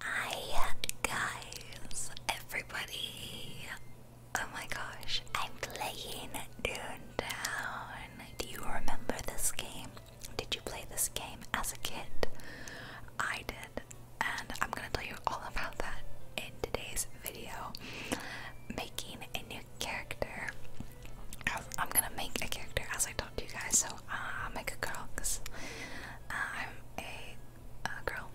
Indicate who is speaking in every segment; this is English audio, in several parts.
Speaker 1: Hi guys, everybody! Oh my gosh, I'm playing Dune Downtown. Do you remember this game? Did you play this game as a kid? I did, and I'm gonna tell you all about that in today's video. Making a new character. I'm gonna make a character as I to you guys, so I'll make a girl I'm a, girl.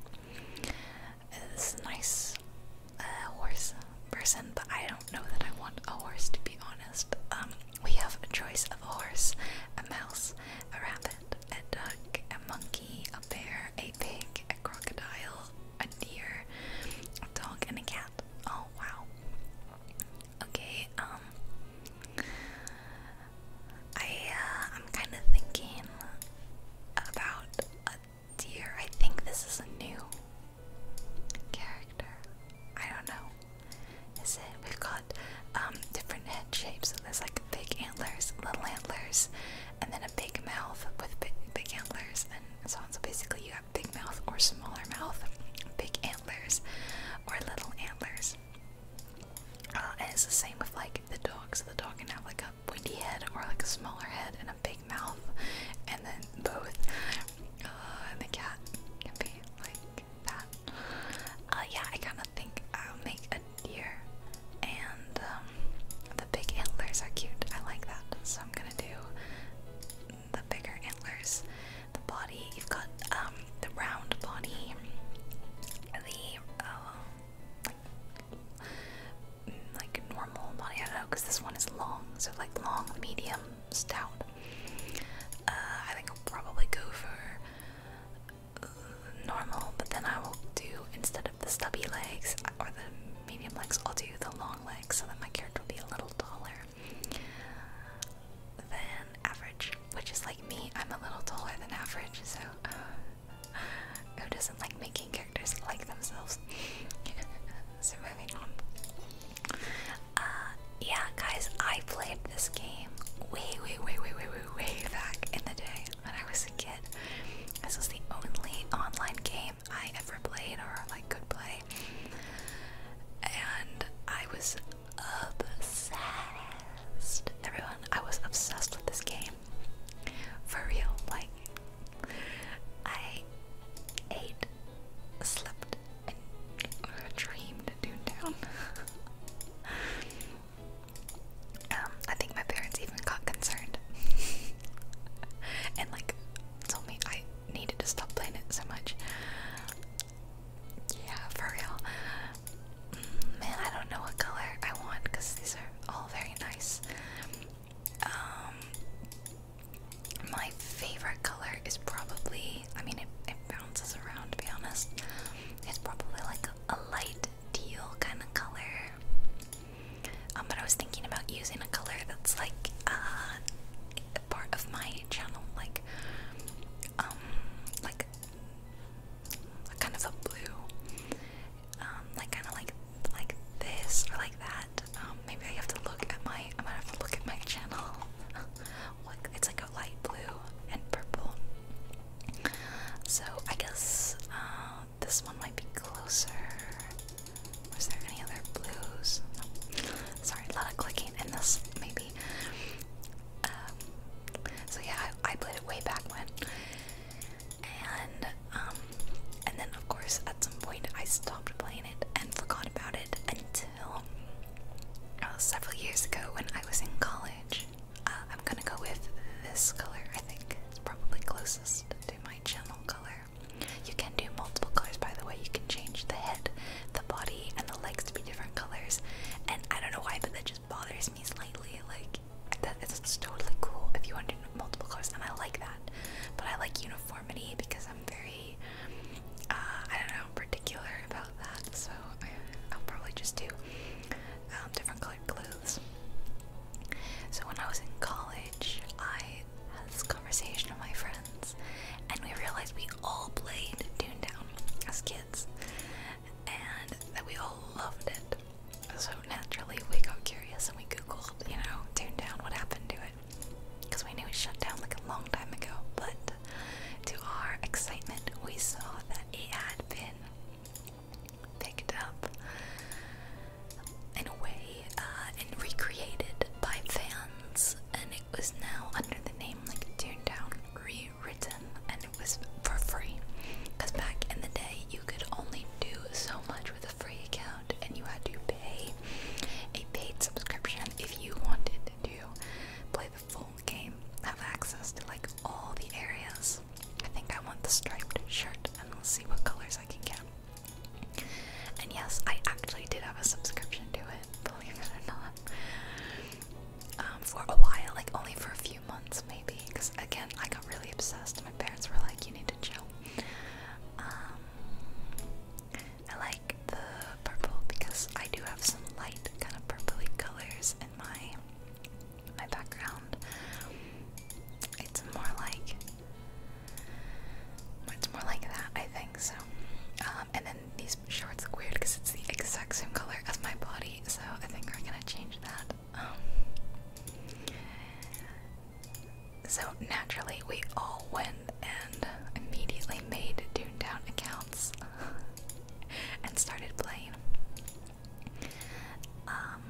Speaker 1: Uh, this a uh, uh, horse person, but I don't know that I want a horse to be honest. Um, we have a choice of a horse, a mouse, a rabbit, a duck, a monkey, a bear, a pig, a crocodile, a deer, a dog, and a cat. Oh wow. Okay, um, I uh, I'm kind of thinking about a deer. I think this is a new character. I don't know. Is it? We've got um, different head shapes. So there's like big antlers, little antlers, and then a big mouth with big antlers and so on. So basically, you have big mouth or smaller mouth, big antlers or little antlers. Uh, and it's the same with like the dogs. The dog can have like a pointy head or like a smaller head and a big mouth, and then both. Uh, and the cat can be like that. Uh, yeah, I kind of think I'll make a deer, and um, the big antlers are cute. I like that, so I'm gonna do the bigger antlers. The body, you've got um, the round body, the uh, like, normal body. I don't know because this one is long, so like long, medium, stout. Uh, I think I'll probably go for uh, normal, but then I will do instead of the stubby legs or the medium legs, I'll do the long legs so that my character will be a little taller than average which is like me. I'm a little taller than average, so uh, who doesn't like making characters like themselves? so moving on. Uh, yeah, guys, I played this game way, way, way, way, way, way, way back in the day when I was a kid. This was the only online game I ever played or like could play, and I was obsessed. Everyone, I was obsessed with this game. For real, like I ate, slept, and dreamed Doontown. um, I think my parents even got concerned and like told me I needed to stop playing it so much. Yeah, for real. Man, I don't know what color I want because these are all very nice. Um, my favorite color is probably, I mean, it, it bounces around to be honest. It's probably like a, light teal kind of color. Um, but I was thinking about using a color that's like uh, part of my channel, like um, like kind of a blue, um, like kind of like like this or like that. Um, maybe I have to look at my. I might have to look at my channel. it's like a light blue and purple. So I guess uh, this one might be closer. Was there any other blues? Sorry, a lot of clicking in this. Maybe. Um, so yeah, I, played it way back when. And um and then of course at some point I stopped playing it and forgot about it until uh, several years ago when I was in college. Uh, I'm gonna go with this color, I think. It's probably closest to my channel color. You can do multiple colors by the way, you can change the head, the body, and the legs to be different colors. And I don't know why, but that just bothers me slightly. Like that it's totally cool if you want to do multiple colors, and I like that. But I like uniformity because I'm very, uh, I don't know, particular about that. So I, will probably just do um, different colored clothes. So when I was in college, I had this conversation with my friends, and we realized we all played Dune Down as kids and that we all loved it. So naturally, we got curious and we googled, you know, Toon Town, what happened to it? Because we knew it shut down like a long time ago, but to our excitement, we saw that it had been picked up in a way uh, and recreated by fans, and it was now under the name like Down Re written and it was for free. Because back in the day, you could only do so much with a free account and you had to pay a paid subscription if you wanted to play the full game, have access to like all the areas. I think I want the striped shirt and we'll see what colors I can get. And yes, I actually did have a subscription to it, believe it or not. Um, for a while, like only for a few months maybe, because again, I got really obsessed. My parents were like, you need to chill. Um, I like the purple because I do have some light kind of purpley colors in my my background. It's more like it's more like that, I think so. Um, and then these shorts are weird because it's the exact same color as my body, so I think we're gonna change that. Um, so naturally, we all went and immediately made Toontown accounts and started playing. Um,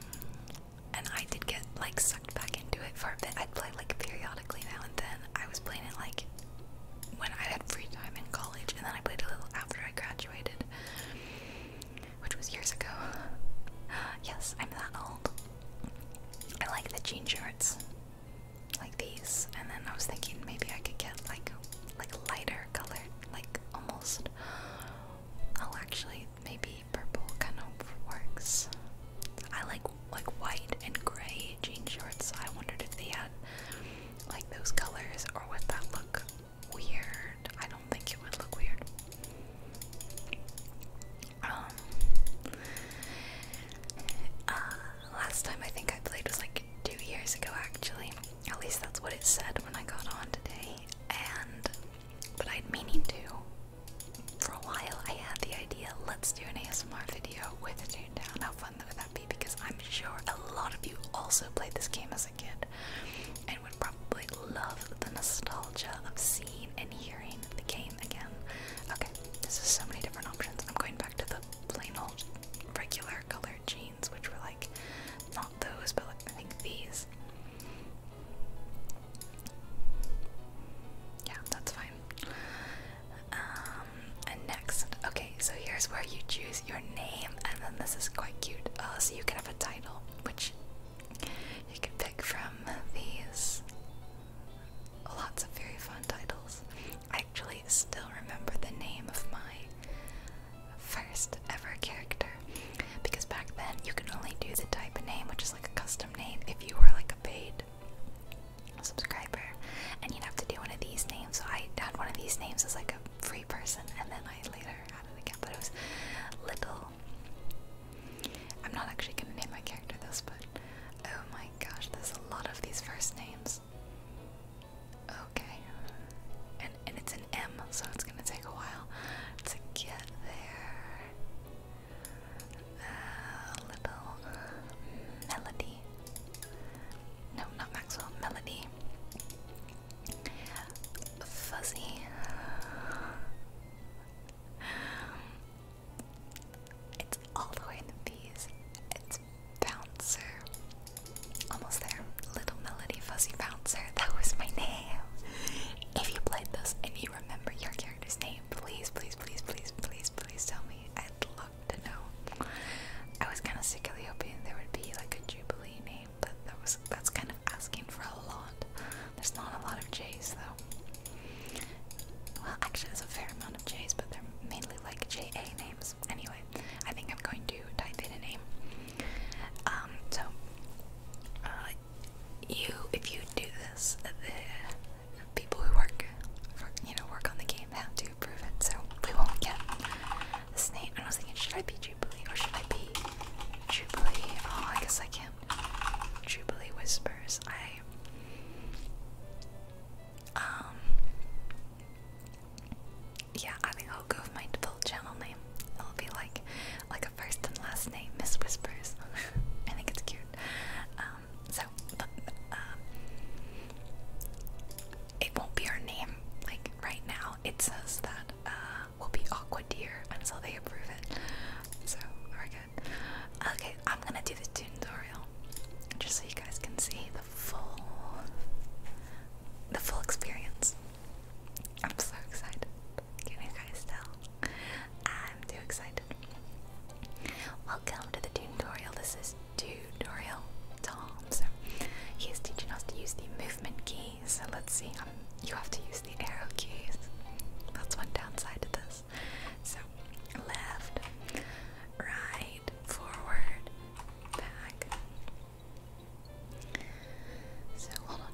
Speaker 1: and I did get like sucked back into it for a bit. I'd play like periodically now and then. I was playing it like when I had free time in college, and then I played a little after I graduated which was years ago. yes, I'm that old. I like the jean shorts, like these. And then I was thinking maybe I could get like like lighter colored, like almost. I'll actually, maybe purple kind of works. I like like white and gray jean shorts. I wondered if they had like those colors or what that look weird. I don't think it would look weird. Um, uh, last time I think I played was like two years ago, actually. At least that's what it said when I got on today. And, but I'd meaning to. For a while, I had the idea let's do an ASMR video with a tune down. How fun would that be? Because I'm sure a lot of you also played this game as as kid and would probably love the nostalgia of seeing and hearing the game again. Okay, this is so many different options. I'm going back to the plain old regular colored jeans, which were like not those, but like, I think these. Yeah, that's fine. Um, and next, okay, so here's where you choose your name, and then this is quite cute. Uh, so you can have a which you can pick from these. Lots of very fun titles. I actually still remember the name of my first ever character because back then you could only do the type of name, which is like a custom name, if you were like a paid subscriber, and you'd have to do one of these names. So I had one of these names as like a free person, and then I later again, but it was Little. I'm not actually gonna name my character this, but oh my gosh, there's a lot of these first names. Okay, and and it's an M, so it's gonna take a while to get there. Uh, little Melody. No, not Maxwell. Melody fuzzy. It's all the way in the B's. It's Bouncer. Almost there. Little Melody Fuzzy Bouncer. That was my name. If you played this and you remember your character's name, please, please, please, please, please, please tell me. I'd love to know. I was kind of secretly hoping there would be like a Jubilee name, but that was that's kind of kind of asking for a lot. There's not a lot of J's though. Well, actually, there's a fair amount of J's, but they're mainly like JA names. Anyway, I think I'm going to type in a name. Um, so, uh, you, if you do this, the people who work, for, you know, work on the game have to approve it. So we won't get this name. I was thinking, should I be or should I be Jubilee? Oh, I guess I can. Jubilee Whispers. I. Um. Yeah, I think I'll go with my full channel name. It'll be like, like a first and last name, Miss Whispers. I think it's cute. Um. So, um, It won't be our name. Like right now, it says that. Uh, will be Aqua Deer until they approve it. So we good. Okay, I'm gonna do the tutorial just so you guys can see the full the full experience. I'm so excited. Can you guys tell? I'm too excited. Welcome to the tutorial. This is tutorial Tom. So he is teaching us to use the movement key so let's see. Um, you have to use the arrow keys. That's one downside to this. So, left, right, forward, back. So, hold on.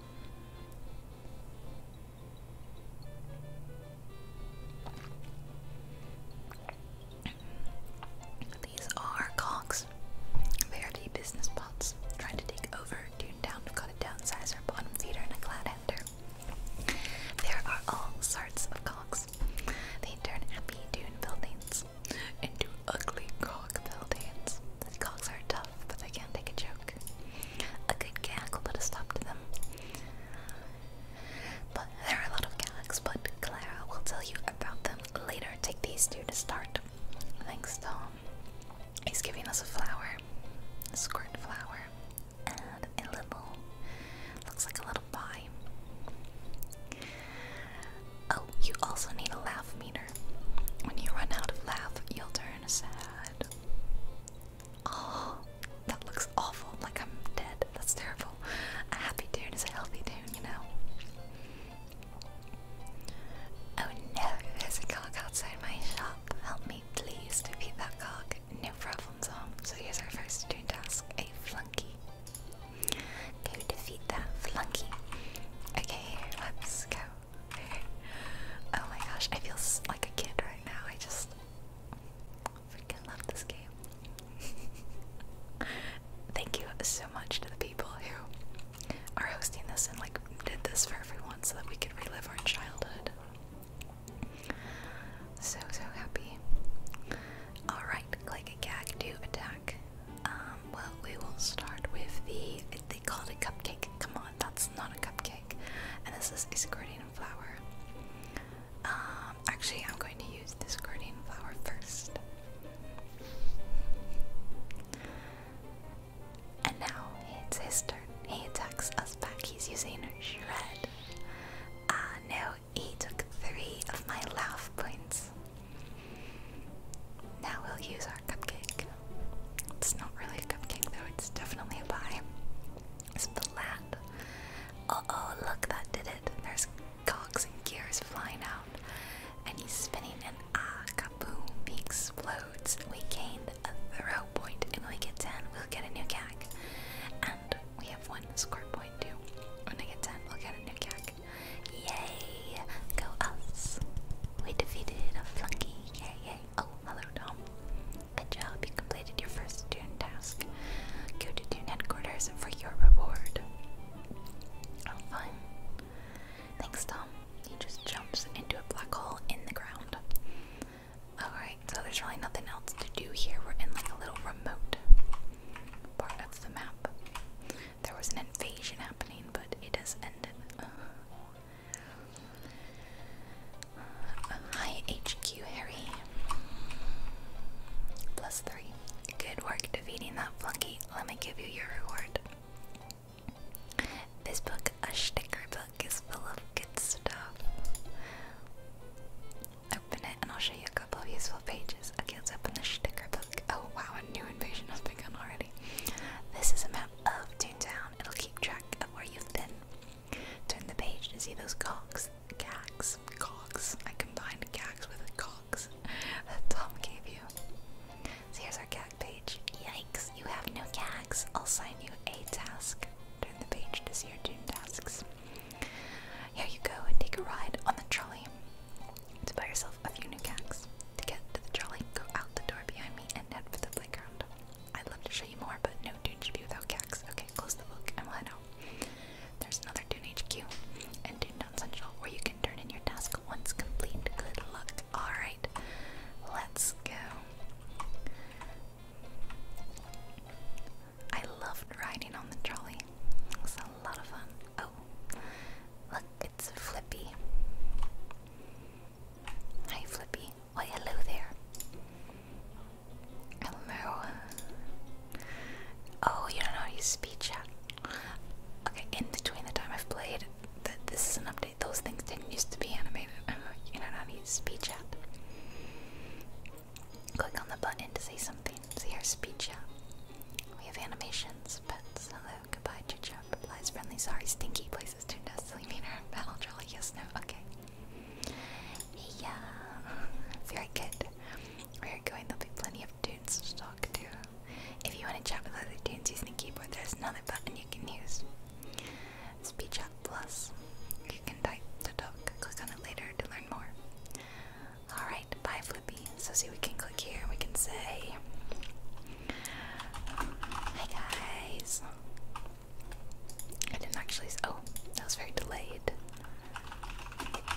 Speaker 1: These are cogs. They are the business bots trying to take over tuned down to cut a downsizer, bottom feeder, and a cloudhander. There are all sorts of cocks. They turn happy dune buildings into ugly cock buildings. The cocks are tough, but they can't take a joke. A good gag will put a stop to them. But there are a lot of gags, but Clara will tell you about them later. Take these two to start. Thanks, Tom he's giving us a flower, a squirt flower, and a little, looks like a little pie. Oh, you also need a laugh meter. When you run out of laugh, you'll turn sad. Oh, that looks awful, like I'm dead. That's terrible. A happy tune is a healthy tune, you know? Oh no, there's a cog outside my shop. Help me please defeat that cog. No problem, Zom. So here's our first turn task, a flunky. Go defeat that flunky. Okay, let's go. oh my gosh, I feel like a kid right now. I just freaking love this game. Thank you so much to the people who are hosting this and like did this for everyone so that we could relive our childhood. So so happy. Alright, click a gag to attack. Um, well we will start with the they called it a cupcake. Come on, that's not a cupcake. And this is a escorting flower. Um, actually I'm going to use this guardian flower first. And now it's his turn. He attacks us back. He's using Shred. Ah, no, he took three of my laugh points. Now we'll use our cupcake. It's not really a cupcake though, it's definitely a pie. It's flat. oh, look, that did it. There's cogs and gears flying out. And he's spinning, and ah, kaboom, he explodes. We gain a throw point, and we get 10, we'll get a new gag. And we have one score point too. When I get 10, we'll get a new gag. Yay! Go us! We defeated a flunky. Yay, yay. Oh, hello, Tom. Good job, you completed your first Dune task. Go to Dune headquarters for your reward. Oh, fun. Thanks, Tom. He just jumps into a black hole in the ground. Alright, so there's really nothing else to do here. We're in like a little remote part of the map. There was an invasion happening, but it has ended. Uh, hi, HQ Harry. Plus three. Good work defeating that flunky. Let me give you your reward. This book, a sticker book, is full of good stuff. Open it and I'll show you a couple useful pages. Okay, let's open the sticker book. Oh wow, a new invasion has begun already. This is a map of Toontown. It'll keep track of where you've been. Turn the page to see those cogs. Gags. Cogs. I combined gags with cogs Tom gave you. So there's page. Yikes, you have no gags. I'll sign you a task. Turn the page to see your Doom tasks. Here you go and take a ride on the trolley to buy yourself a few new gags. To get to the trolley, go out the door behind me and head for the playground. I'd love to show you more, but no Dune should be without gags. Okay, close the book and we'll head out. There's another Dune HQ and Dune Down Central where you can turn in your task once complete. Good luck. Alright, let's go. I loved riding on the trolley. It was a lot of fun. Oh, look, it's Flippy. Hi, Flippy. Why, oh, hello there. Hello. Oh, you don't know how to use speed chat. Okay, in between the time I've played, th this is an update. Those things didn't used to be animated. Uh, you know what I mean? Speed chat. Click on the button to say something. See our speech chat. We have animations, pets, hello, goodbye, chit chat, replies, friendly, sorry, stinky places, turned out silly manner, battle, jolly, yes, no, okay. Yeah, very good. Where you're going, there'll be plenty of tunes to talk to. If you want to chat with other tunes using the keyboard, there's another button you can use. Speech App Plus. You can type the talk, click on it later to learn more. Alright, bye Flippy. So see we can click here we can say Hi guys. I didn't actually oh, that was very delayed.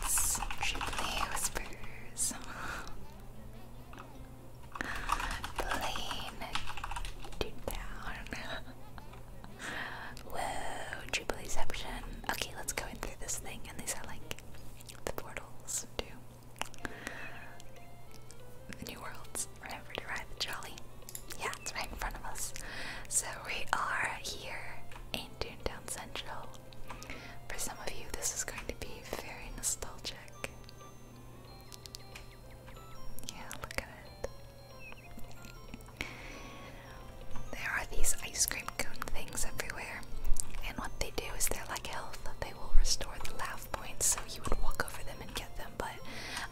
Speaker 1: It's Triply Whispers. Blaine to down. Whoa, Jubileeception. Okay, let's go in through this thing. And these are like the portals to the new worlds. Remember to ride the Yeah, it's right in front of us. So we are here in Toontown Central. For some of you, this is going to be very nostalgic. Yeah, look at it. There are these ice cream cone things everywhere, and what they do is they're like health. They will restore the laugh points, so you would walk over them and get them, but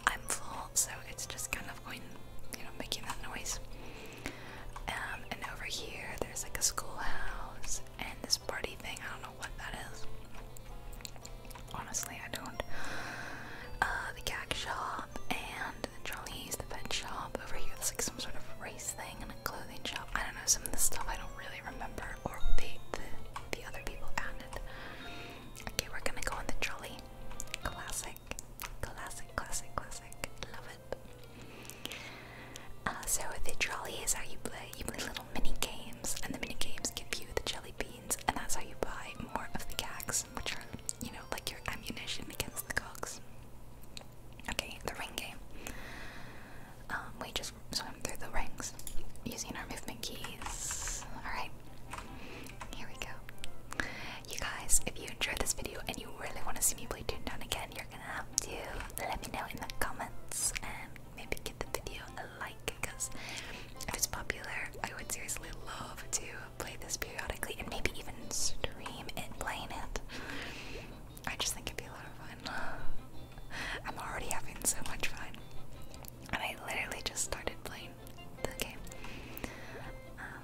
Speaker 1: I'm full, so it's just kind of going, you know, making that noise. Um, and over here, there's like a schoolhouse and this party thing. I don't know what that is honestly, I don't. Uh, the gag shop and the Charlie's, the pet shop. Over here, there's like some sort of race thing and a clothing shop. I don't know, some of the stuff I don't really remember or the, the other people added. Okay, we're gonna go on the trolley. Classic, classic, classic, classic. Love it. Uh, so the trolley is how you play. You play little mini games, and the mini games give you the jelly bean and that's how you buy more of the cags, which are, you know, like your ammunition against the cogs. Okay, the ring game. Um, we just swim through the rings using our movement keys. Alright, here we go. You guys, if you enjoyed this video and you really want to see me play Toontown again, you're gonna have to let me know in the comments and maybe get the video like because if it's popular, I would seriously love to play this periodically and maybe even stream it playing it. I just think it'd be a lot of fun. I'm already having so much fun. And I literally just started playing the game. Um,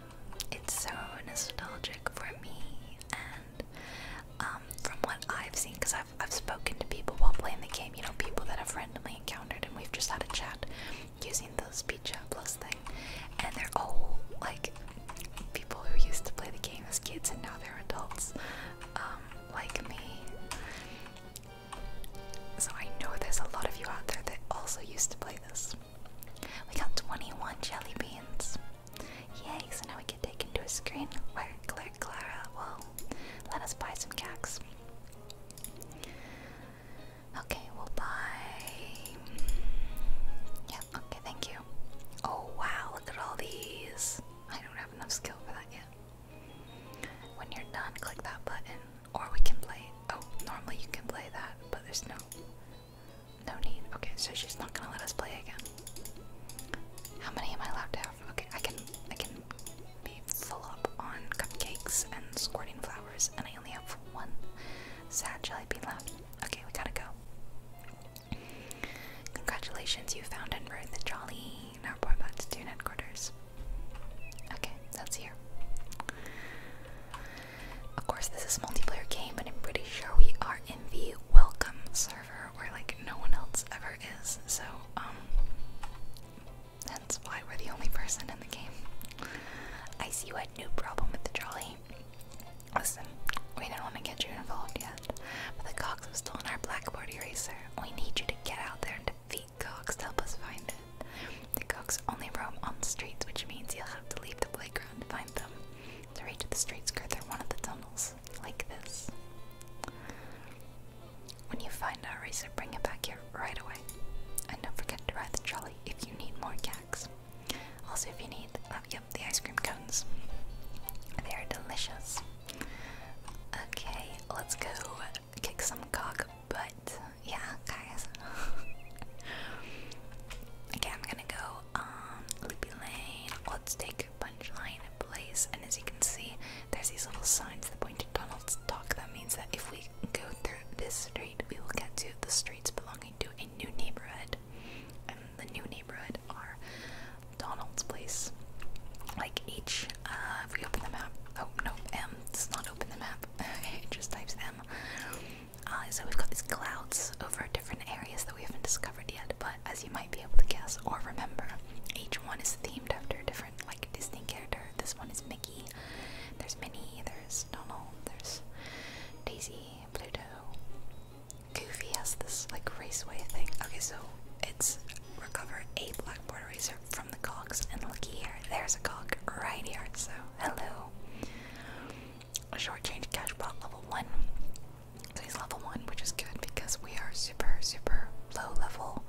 Speaker 1: it's so nostalgic for me, and um, from what I've seen, because I've, I've spoken to people while playing the game you know, people that i have randomly encountered and we've just had a chat using the speech chat plus thing. And they're all like people who used to play the game as kids and now they're adults, um, like me. So I know there's a lot of you out there that also used to play this. We got 21 jelly beans. Yay, so now we get taken to a screen where Claire Clara well, let us buy some cacks. Okay, we'll buy. Yep, okay, thank you. Oh wow, look at all these. I don't have enough skill for that yet. When you're done, click that button. Or we can play. Oh, normally you can play that, but there's no. No need. Okay, so she's not gonna let us play again. How many am I allowed to have? Okay, I can I can be full up on cupcakes and squirting flowers, and I only have one sad jelly bean left. Okay, we gotta go. Congratulations, you found and birthed the jolly. Now we're back to Dune headquarters. Okay, that's here. Of course, this is a multiplayer game, but I'm pretty sure we are in the welcome server where like no one else ever is. So, um, that's why we're the only person in the game. I see you had no problem with the jolly. Listen, we do not want to get you involved yet, but the Cox was stolen our blackboard eraser. We need you to get out there and defeat Cox to help us find it. The Cox only roam on the streets, which means you'll have to leave the playground to find them. To reach the streets, go through one of the tunnels, like this. When you find our razor, bring it back here right away. And don't forget to ride the trolley if you need more gags. Also, if you need, oh, the ice cream cones. They are delicious. Okay, let's go kick some cock butt. Yeah, guys. okay, I'm gonna go um Loopy Lane. Let's take Punchline Place, and as you can see, there's these little signs that point to tunnels. Talk them that means that if we go through this street, we will get to the streets belonging to a new neighborhood. And the new neighborhood are Donald's Place. Like each, uh, if we open the map, oh no, M does not open the map, it just types M. Uh, so we've got these clouds over different areas that we haven't discovered yet, but as you might be able to guess or remember, each one is themed after a different, like, Disney character. This one is Mickey there's Minnie, there's Donald, there's Daisy, Pluto. Goofy has this like raceway thing. Okay, so it's recover a blackboard eraser from the cogs, and looky here, there's a cog right here. So hello. Short change cash bot level one. So he's level one, which is good because we are super super low level.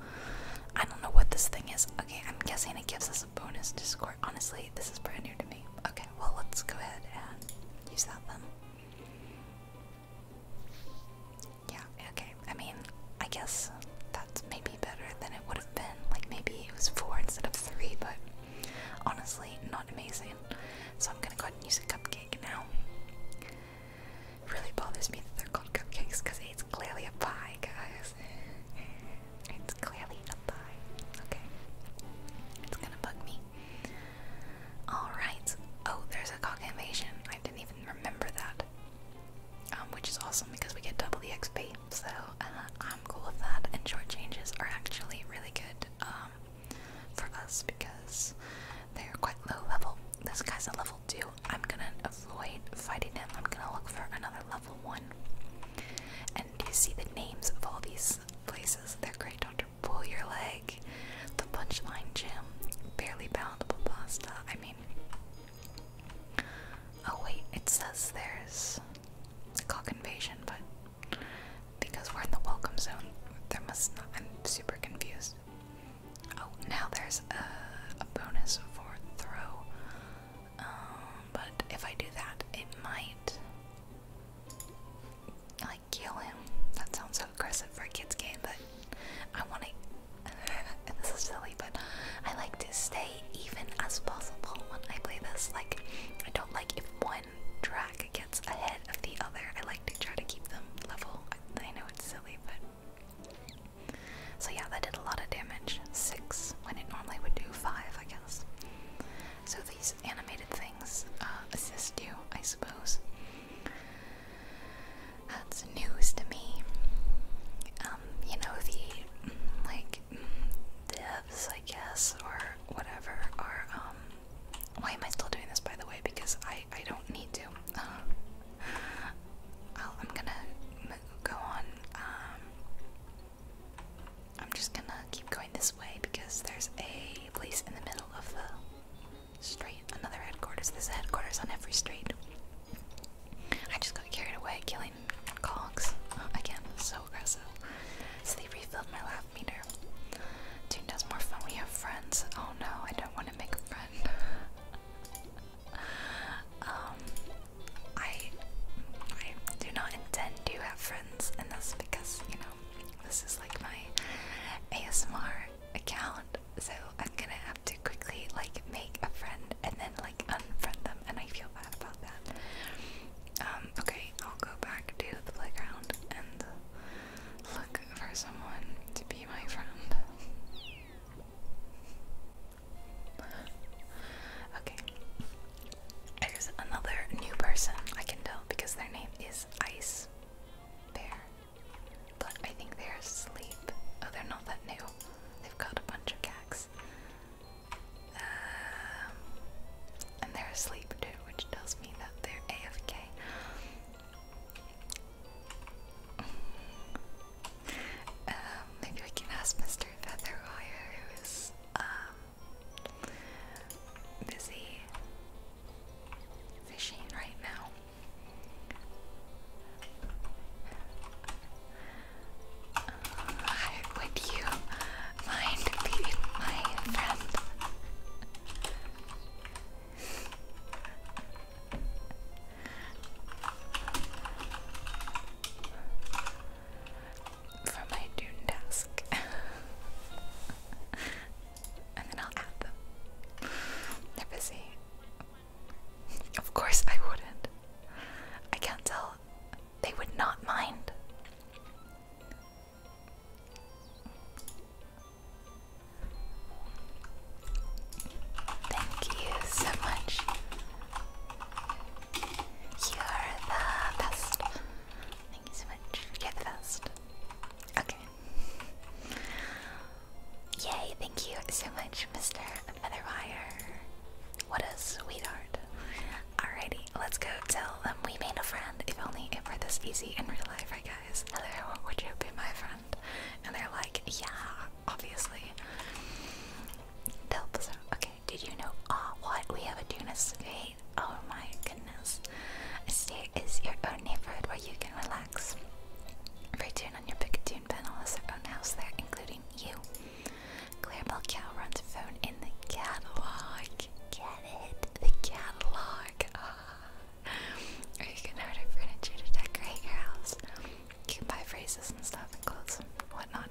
Speaker 1: I don't know what this thing is. Okay, I'm guessing it gives us bonus Discord. Honestly, this is brand new to me. Okay, well, let's go ahead and use that one. Yeah, okay. I mean, I guess that's maybe better than it would have been. Like, maybe it was four instead of three, but honestly, not amazing. So I'm gonna go ahead and use a cupcake now. It really bothers me that they're called cupcakes because it's it's clearly a pie, guys. It's clearly a pie. Okay. It's gonna bug me. Alright. Oh, there's a cock invasion. I didn't even remember that. Um, which is awesome because we get double XP. So uh, I'm cool with that. And short changes are actually really good um, for us because they're quite low level. This guy's a level 2. I'm gonna avoid fighting him. I'm gonna look for another level level one. And you see the names of all these places. They're great. Doctor Pull Your Leg, the Punchline Gym, Barely Palatable Pasta. I mean. Oh, wait, it says there's Cock Invasion, but because we're in the welcome zone, there must not. I'm super confused. Oh, now there's a bonus for throw um, but if I do that, it might like kill him. That sounds so aggressive for a kids game, but I want to. this is silly, but I like to stay even as possible when I play this. Like, I don't like if one track gets ahead of the other. I like to try to keep them level. I, I know it's silly, but so yeah, that did a lot of damage. Six, when it normally would do five, I guess. So these animated things uh, assist you, I suppose. That's news to me. Um, you know, the, like, devs, I guess, or whatever, are, um, why am I still doing this, by the way? Because I, I don't need to. Uh, i am gonna go on, um, I'm just gonna keep going this way because there's a place in the middle of the street. Another headquarters. There's headquarters on every street. I just got carried away killing cogs. Uh, again, so aggressive. So they refilled my laugh meter. Tune does more fun. We have friends. Oh no, I don't want to make a friend. um, I I do not intend to have friends in this because you know this is like my ASMR account, so I'm gonna have to quickly like make a friend and then like unfriend them, and I feel bad about that. Um, okay, I'll go back to the playground and look for someone to be my friend okay. There's another new person I can tell because their name is Ice Bear. But I think they're asleep. Oh, they're not that new. They've got a bunch of gags. Um, and they're asleep too, which tells me that they're AFK. Um, maybe we can ask Mr. Featherwire, who's um busy fishing right now. Uh, would you mind being my friend? for my Dune task. and then I'll add them. They're Of course I wouldn't. I can't tell. They would not mind. Thank you so much you're the best. Thank you so much. You're the best. Okay. Yay, thank you so much, Mr. Featherwire. What a sweetheart. Alrighty, let's go tell them we made a friend. If only it were this easy in real life, right guys? Hello, would you be my friend? And they're like, yeah, obviously. Help, so, okay did you know? Ah, what? We have a dunes skate. Oh my goodness. A state is your own neighborhood where you can relax. Every dune on your Picatoon panel has their own house there, including you. Clarabelle Cow runs a phone in the catalog. Get it? The catalog. Ah, you can order furniture to decorate your house. You can buy phrases and stuff and clothes and whatnot lot.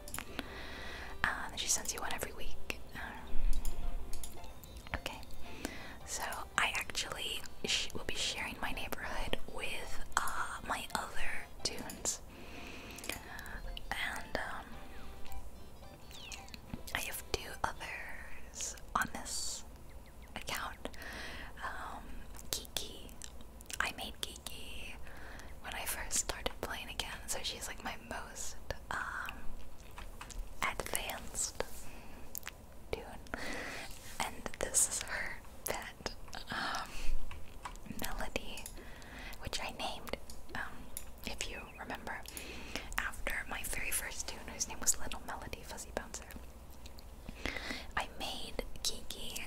Speaker 1: Uh, she sends you one every week. Um, okay. So I actually will be sharing my neighborhood with uh, my other tunes. And um, I have two others on this account. Um, Kiki. I made Kiki when I first started playing again, so she's like my most um, advanced dude. And this is her pet, um, Melody, which I named, um, if you remember, after my very first tune, whose name was Little Melody Fuzzy Bouncer. I made Kiki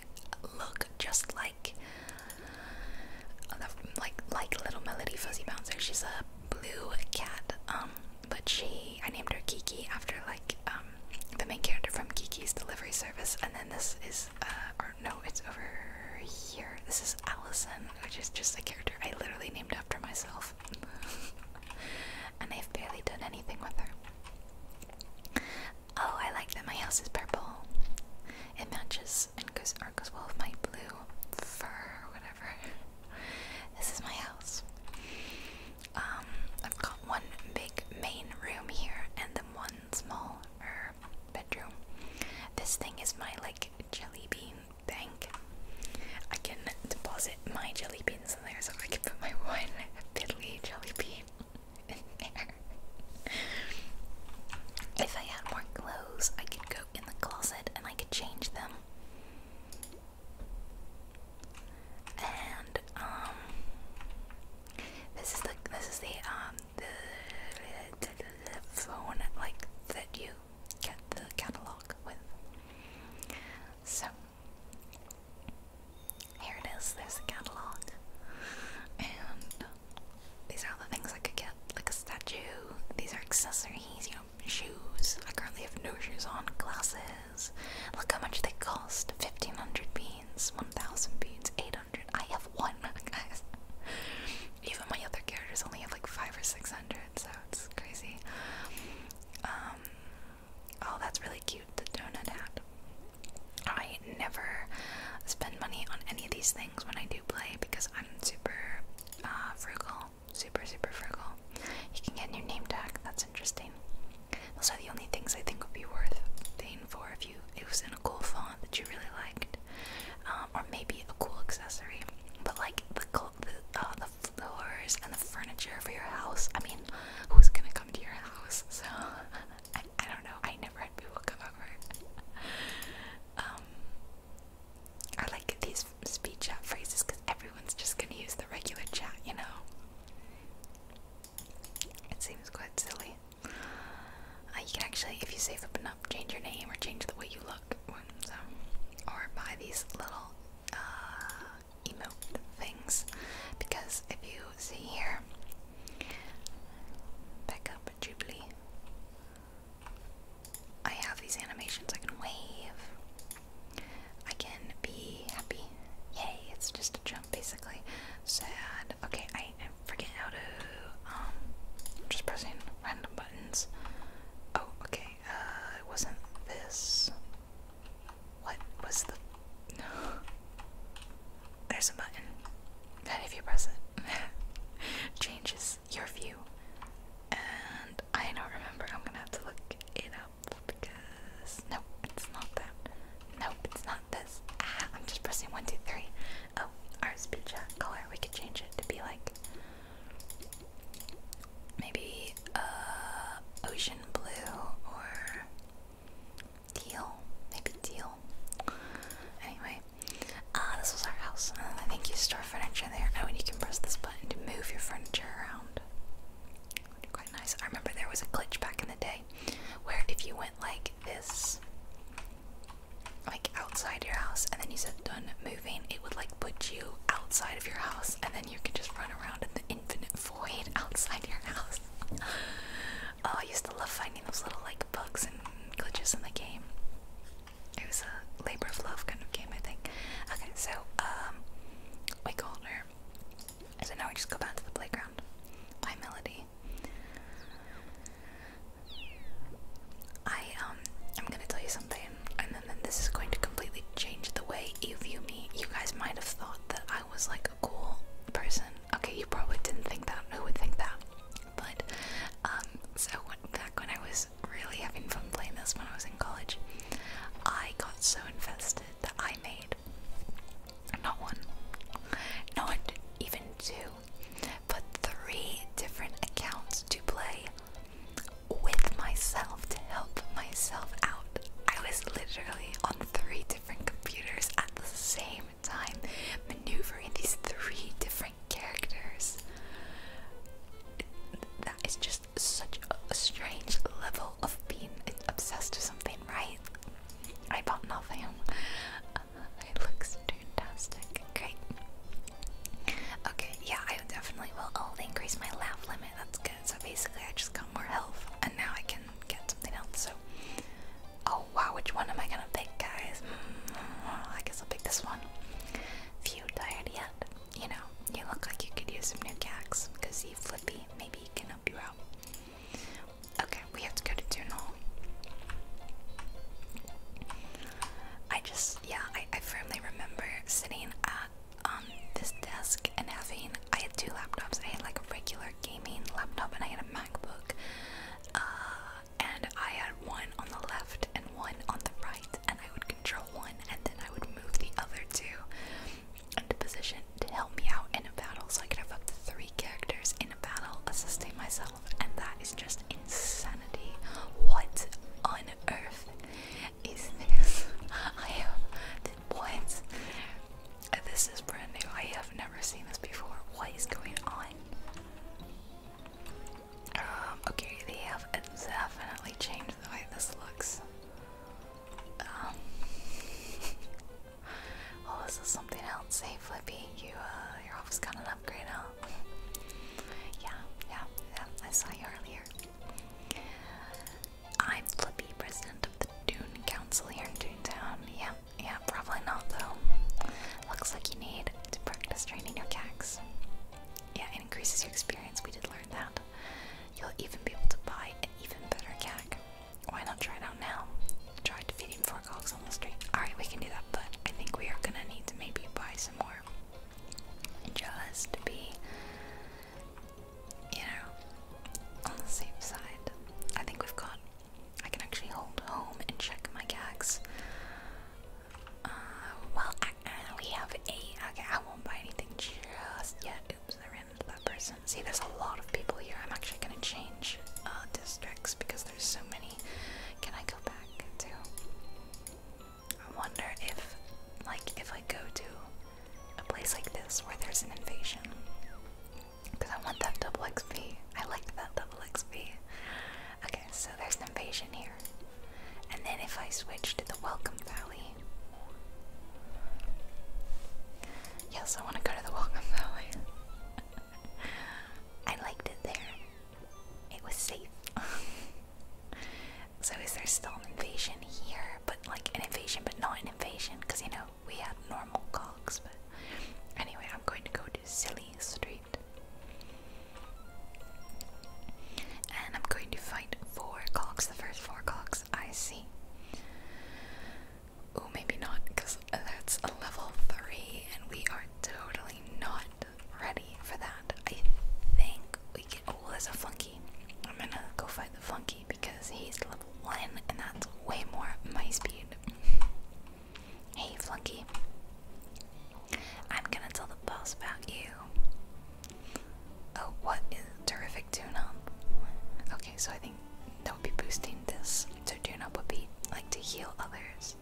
Speaker 1: look just like like like little Melody Fuzzy Bouncer. She's a blue cat. Um, but she I named her Kiki after like um, the main character from Kiki's Delivery Service. And then this is uh or no, it's over here. This is Allison, which is just a character I literally named after myself. and I've barely done anything with her. Oh, I like that my house is purple it matches and goes or goes well with my blue fur or whatever. this is my house. Um, I've got one big main room here and then one small er, bedroom. This thing is my like jelly bean bank. I can deposit my jelly beans in there so I can put my one piddly jelly bean in there if I had more clothes, I could go in the closet and I could change them. And um, this is the this is the um the, phone like that you get the catalog with. So here it is. There's a catalog, and these are the things I could get, like a statue. These are accessories, you know, shoes. I currently have no shoes on. Glasses. Look how much they cost. 1500 beans, 1000 beans, 800. I have one, guys. Even my other characters only have like five or 600, so it's crazy. Um, oh, that's really cute, the donut hat. I I never spend money on any of these things when I do play because I'm super uh, frugal, super super frugal. You can get your name tag. That's interesting. Those are the only things I think would be worth paying for if you it was in a cool font that you really liked, um, or maybe a cool accessory. But like the uh, the, floors and the furniture for your house. I mean, who's gonna come to your house? So I don't know. I never had people come over. Um, I like these speed chat phrases because everyone's just gonna use the regular chat, you know? It seems quite silly. Uh, you can actually, if you save up enough, change your name or change the way you look, so, um, or buy these little uh, emote things. Because if you see here, back up Jubilee, I have these animations. I can wave. I can be happy. Yay, it's just a jump basically. Sad. Okay, I, I forget how to um am just pressing random buttons. Oh, okay. Uh it wasn't this. What was the No There's a button that if you press it changes your view? And I don't remember. I'm gonna have to look it up because no, it's not that. No, it's not this. Ah, I'm just pressing one, two, three. Oh, our speech uh, color. We could change it to be like maybe uh, ocean blue or teal. Maybe teal. Anyway, Ah, this was our house. Uh, I think you store furniture there. Oh, and you can press this button to move your furniture around. Quite nice. I remember there was a glitch back in the day where if you went like this, like outside your house, and then you said done moving, it would like put you outside of your house, and then you could just run around in the infinite void outside your house. oh, I used to love finding those little like bugs and glitches in the game it was a labor of love kind of game, I think. Okay, so um, we called her. So now we just go back to the playground. By Melody. I um, I'm gonna tell you something, and then, then this is going to completely change the way you view me. You guys might have thought that I was like a cool person. Okay, you probably didn't think that. Who would think that? But um, so back when I was really having fun playing this when I was in college, I got so invested that I made not one, not even two, but three different accounts to play with myself to help myself out. I was literally on three different computers at the same time, maneuver these three different characters. That is just such a strange level of being obsessed with something, right? I bought nothing. Uh, it looks fantastic. Great. Okay, yeah, I definitely will only increase my laugh limit. That's good. So basically, I just got more health, and now I can get something else. So, oh wow, which one am I gonna pick, guys? Hmm, I guess I'll pick this one. If you tired yet, you know, you look like you could use some new gags because you flippy. Maybe he can help you out. Okay, we have to go to Dune I just, yeah, I, firmly remember sitting at um this desk and having I had two laptops. I had like a regular gaming laptop and I had a MacBook. Uh, and I had one on the left and one on the right, and I would control one and then I would move the other two into position to help me out in a battle. So I could have up to three characters in a battle assisting myself, and that is just insanity. What on earth is this? I have what? This is brand new. I have never seen this before. What is going on? Um, okay, they have definitely changed the way this looks. Um, well, oh, this is something else. Hey, Flippy, you, uh, your office got an upgrade, huh? yeah, yeah, yeah, I saw you earlier. I'm Flippy, president of the Dune Council here in Toontown. Yeah, yeah, probably not, though. Looks like you need to practice training your cags, Yeah, it increases your experience, we did learn that. You'll even be able to buy an even better cag. Why not try it out now? Try defeating four cogs on the street. Alright, we can do that, but I think we are gonna need to maybe buy some more. Just to be, you know, on the safe side. I think we've got. I can actually hold home and check my cags. Uh, well, uh, we have a. Okay, I won't buy anything just yet. Oops, I ran into that person. See, there's a lot of people here. I'm actually gonna change uh, districts because there's so many. Can I go back to? I wonder if, like, if I go to a place like this where there's an invasion, because I want that double XP. I like that double XP. Okay, so there's invasion here. And then if I switch to the Welcome Valley. Yes, I want to go to the Welcome Valley. I liked it there. It was safe. so is there still an invasion here? But like an invasion, but not an invasion, because you know we had normal cogs. But anyway, I'm going to go to Silly Street. And I'm going to fight four clocks, the first four clocks I see. Oh, maybe not, because that's a level three, and we are totally not ready for that. I think we get. Oh, there's a flunky. I'm gonna go fight the flunky because he's level one, and that's way more my speed. Hey, flunky. I'm gonna tell the boss about you. Oh, what is terrific tune Okay, so I think that would be boosting this. So tune would be like to heal others.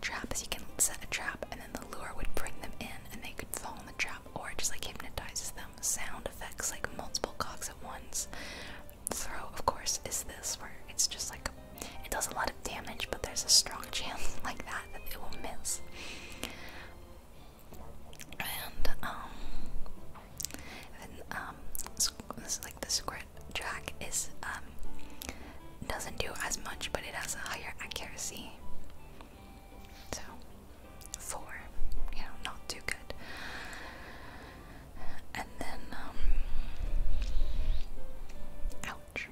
Speaker 1: Traps, you can set a trap and then the lure would bring them in and they could fall in the trap or just like hypnotizes them. Sound effects like multiple cocks at once. Throw, of course, is this where it's just like it does a lot of damage, but there's a strong chance like that that it will miss. And um, um like the squirt track is um, doesn't do as much, but it has a higher accuracy. So four, you know, not too good. And then um, ouch.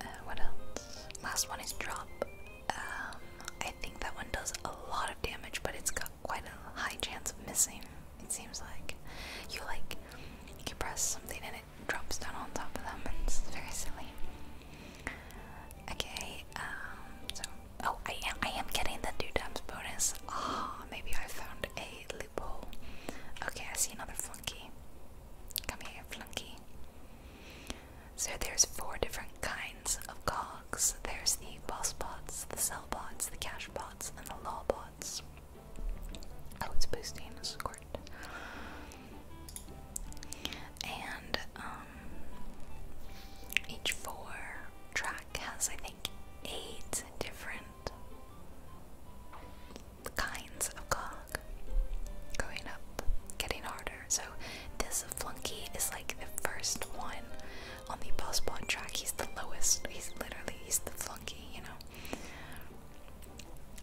Speaker 1: Uh, what else? Last one is drop. Um, I think that one does a lot of damage, but it's got quite a high chance of missing. It seems like you like you press something and it drops down on top of them. It's very silly. Okay. Um, so, oh, I am I am getting the two times bonus. Ah, maybe I found a a loophole. Okay, I see another flunky. Come here, flunky. So there's four different kinds of cogs. There's the boss bots, the cell bots, the cash bots, and the law bots. Oh, it's boosting a And um, each four track has I think eight different kinds of cog going up, getting harder. So this flunky is like the first one on the boss bond track. He's the lowest. He's literally he's the flunky, you know.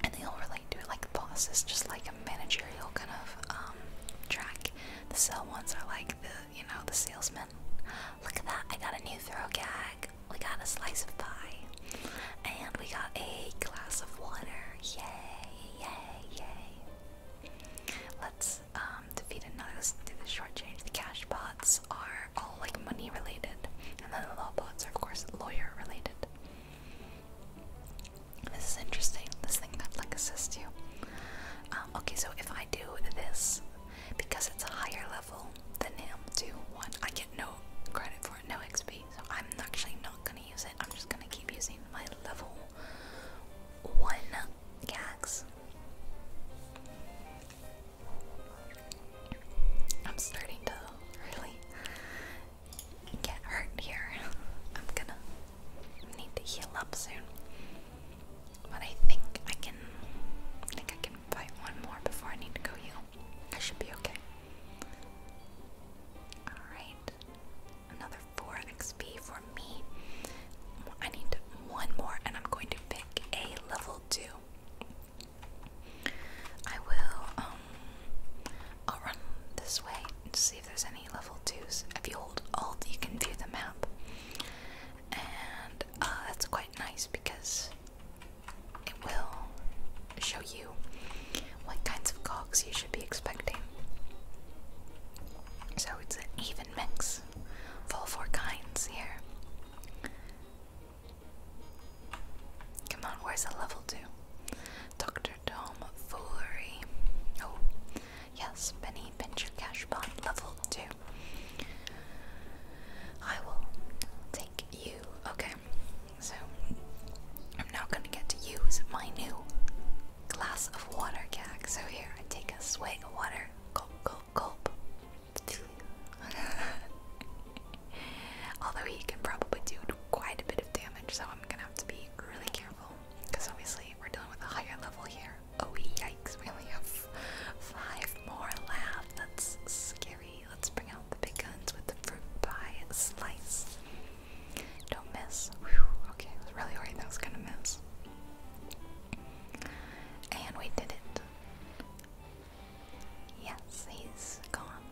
Speaker 1: And they all relate to it. Like the boss is just like a managerial kind of um, track. The sell ones are like the you know the salesmen. Look at that! I got a new throw gag we got a slice of pie, and we got a glass of water. Yay, yay, yay. Let's um, defeat another do the short change. The cash pots are all like money related, and then the law pots are of course lawyer related. This is interesting, this thing that like assists you. Um, okay, so if I do this, because it's a higher level than him, do one, I get no credit for no XP, so I'm actually not gonna use it. I'm just gonna keep using my level one gags. I'm starting to really get hurt here. I'm gonna need to heal up soon. But I think I can think I can fight one more before I need to go heal. I should be okay. Alright. Another 4 XP for me. I need one more, and I'm going to pick a level 2. I will, um, I'll run this way and see if there's any level 2s. If you hold Alt, you can view the map. And uh, that's quite nice because it will show you what kinds of cogs you should be expecting. So it's an even mix, of all four kinds here. Come on, where's the level two? Dr. Tom Foolery. Oh, yes, Benny Pincher level two. I will take you. Okay there. So I'm now gonna get to use my new glass of water gag. So here I take a swig of water. Gulp, gulp, gulp. Although he can probably do quite a bit of damage, so I'm gonna have to be really careful because obviously we're dealing with a higher level here. Oh yikes! We only have five more left. That's scary. Let's bring out the big guns with the fruit pie slice. Don't miss. Okay, I was really worried that I was gonna miss. And we did it. Yes, he's gone.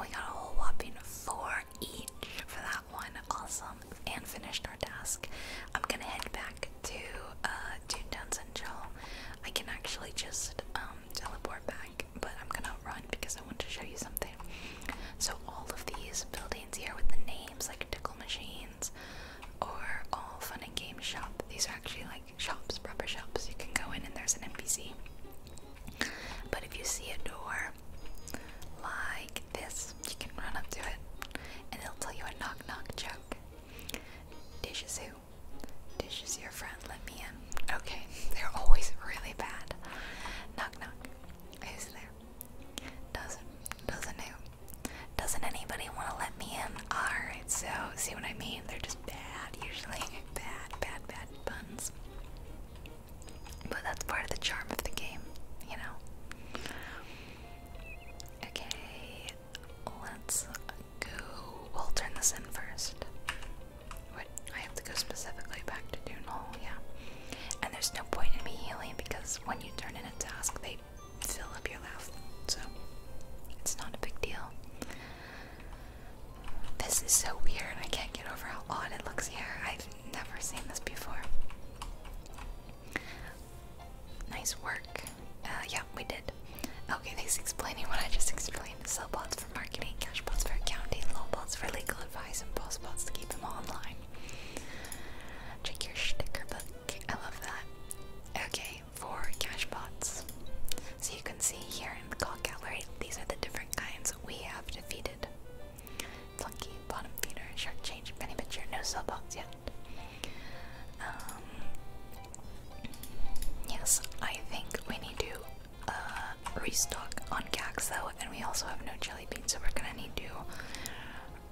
Speaker 1: we got a whole whopping four each for that one. Awesome. And finished our task. I'm gonna head back to uh to Duns and I can actually just um, teleport back but I'm gonna run because I want to show you something. So all of these buildings here with the names like Tickle Machines or All Fun and Games Shop, these are actually like shops, proper shops. You can go in and there's an NPC. But if you see a door like this, you can run up to it and it'll tell you a knock knock joke. Dishes Dish is your friends let me in. Okay, they're always really bad. Knock knock. Who's there? Doesn't doesn't who? Doesn't anybody want to let me in? Alright, so see what I mean? They're just bad usually. Bad, bad, bad buns. But that's part of the charm of the game, you know. Okay, let's go. We'll turn this in first. I have to go specifically back to Hall, yeah. And there's no point in me healing because when you turn in a task, they fill up your life, so it's not a big deal. This is so weird. I can't get over how odd it looks here. I've never seen this before. Nice work. Uh, yeah, we did. Okay, thanks for explaining what I just explained. Sell bots for marketing, cash bots for accounting, loan bots for legal advice, and post bots to keep them online. Check your sticker book. I love that. Okay, for cash bots. So you can see here in the call gallery, these are the different kinds we have defeated. Flunky, bottom feeder, shark change, penny pitcher, no sell bots yet. Um, yes, I think we need to uh, restock on Gaxo, and we also have no jelly beans, so we're gonna need to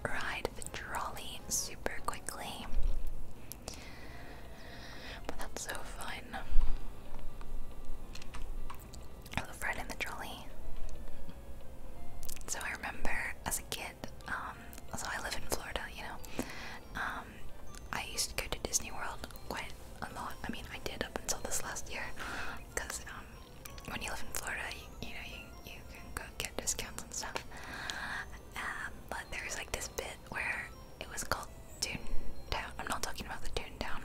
Speaker 1: ride the trolley super quickly. But that's so fun. I love riding the trolley. So I remember as a kid, um, I live in Florida, you know, um, I used to go to Disney World quite a lot. I mean, I did up until this last year, because um, when you live in Florida, you, know you you can go get discounts and stuff. Um, but there was like this bit where it was called Toontown. I'm not talking about the Toontown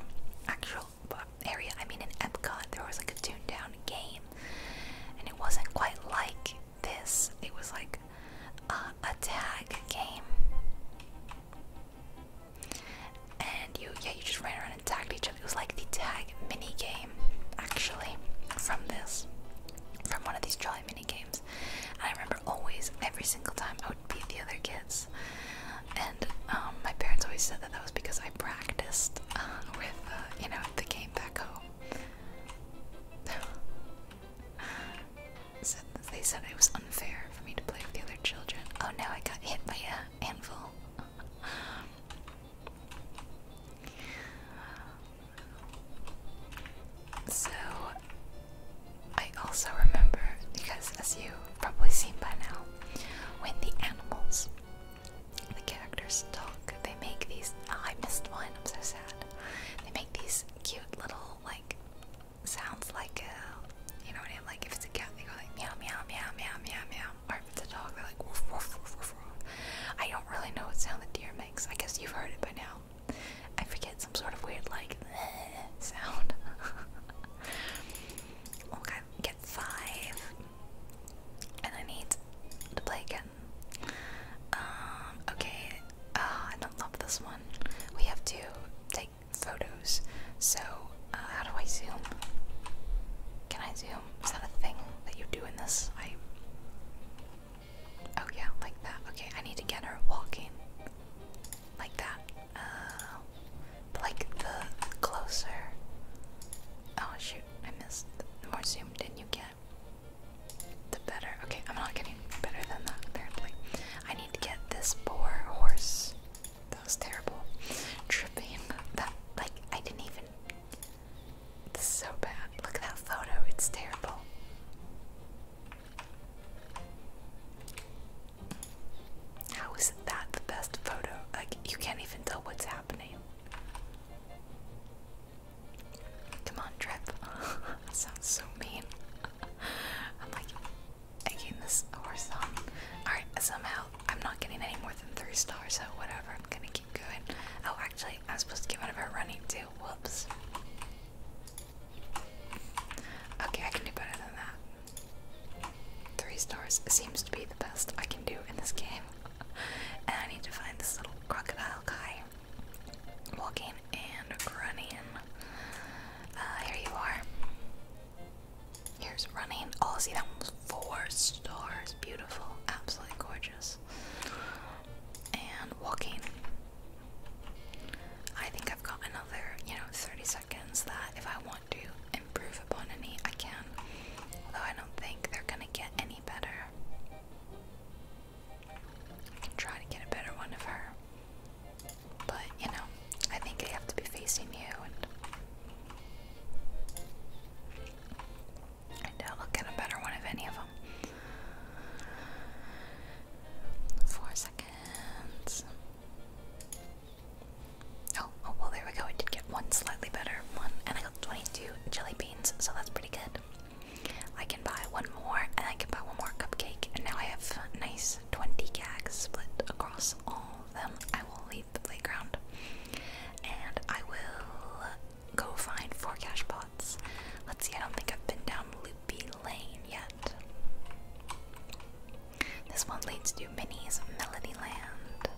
Speaker 1: actual area. I mean, in Epcot, there was like a Toontown game, and it wasn't quite like this. It was like uh, a tag game. And you, yeah, you just ran around and tagged each other. It was like the tag mini game, actually, from this, from one of these jolly mini games. I remember always, every single time, I would beat the other kids. And um, my parents always said that that was because I practiced uh, with, uh, you know, the game back home. they said it was unfair for me to play with the other children. Oh no, I got hit by a anvil. so I also remember because as you probably seen by now, when the animals the characters talk, they make these oh, I missed one, I'm so sad. They make these cute little like sounds like a, you know what I mean? Like if it's a cat, they go like meow, meow, meow, meow, meow, meow. Or if it's a dog, they're like woof, woof, woof, woof, woof. I don't really know what sound the deer makes. I guess you've heard it by now. I forget some sort of weird like sound. okay, get five. And I need to play again. Um, okay. Uh, I don't love this one. We have to photos. So, uh, how do I zoom? Can I zoom? Is that a thing that you do in this? I. Oh, yeah, like that. Okay, I need to get her walking. Like that. Uh, like the closer. Oh, shoot, I missed. The more zoomed in you get, the better. Okay, I'm not getting better than that, apparently. I need to get this poor horse that was terrible. Tripping. That, like, I didn't even. This is so bad. Look at that photo, it's terrible. How is that the best photo? Like, you can't even tell what's happening. Come on, Trip. sounds so mean. I'm like, again this horse Alright, somehow I'm not getting any more than three stars, so whatever, I'm gonna keep going. Oh actually I was supposed to get one of her running too. Whoops. Okay, I can do better than that. Three stars seems to be the best I can do in this game. and I need to find this little crocodile guy. Walking and running. Uh, here you are. Here's running. Oh, see, that one was four stars. Beautiful. Absolutely gorgeous. And walking. I think I've got another, you know, 30 seconds that if I want to improve upon any, I can. Although I don't think they're gonna get any better. I can try to get a better one of her. But you know, I think I have to be facing you and I doubt I'll get a better one of any of them. Four seconds. Oh, oh well, there we go. I did get one slightly better one, and I got 22 jelly beans, so that's pretty good. I can buy one more, and I can buy one more cupcake, and now I have nice 20 gags split across all of them. I will leave the playground and I will go find four cash pots. Let's see, I don't think I've been down Loopy Lane yet. This one leads to Minnie's Melody Land.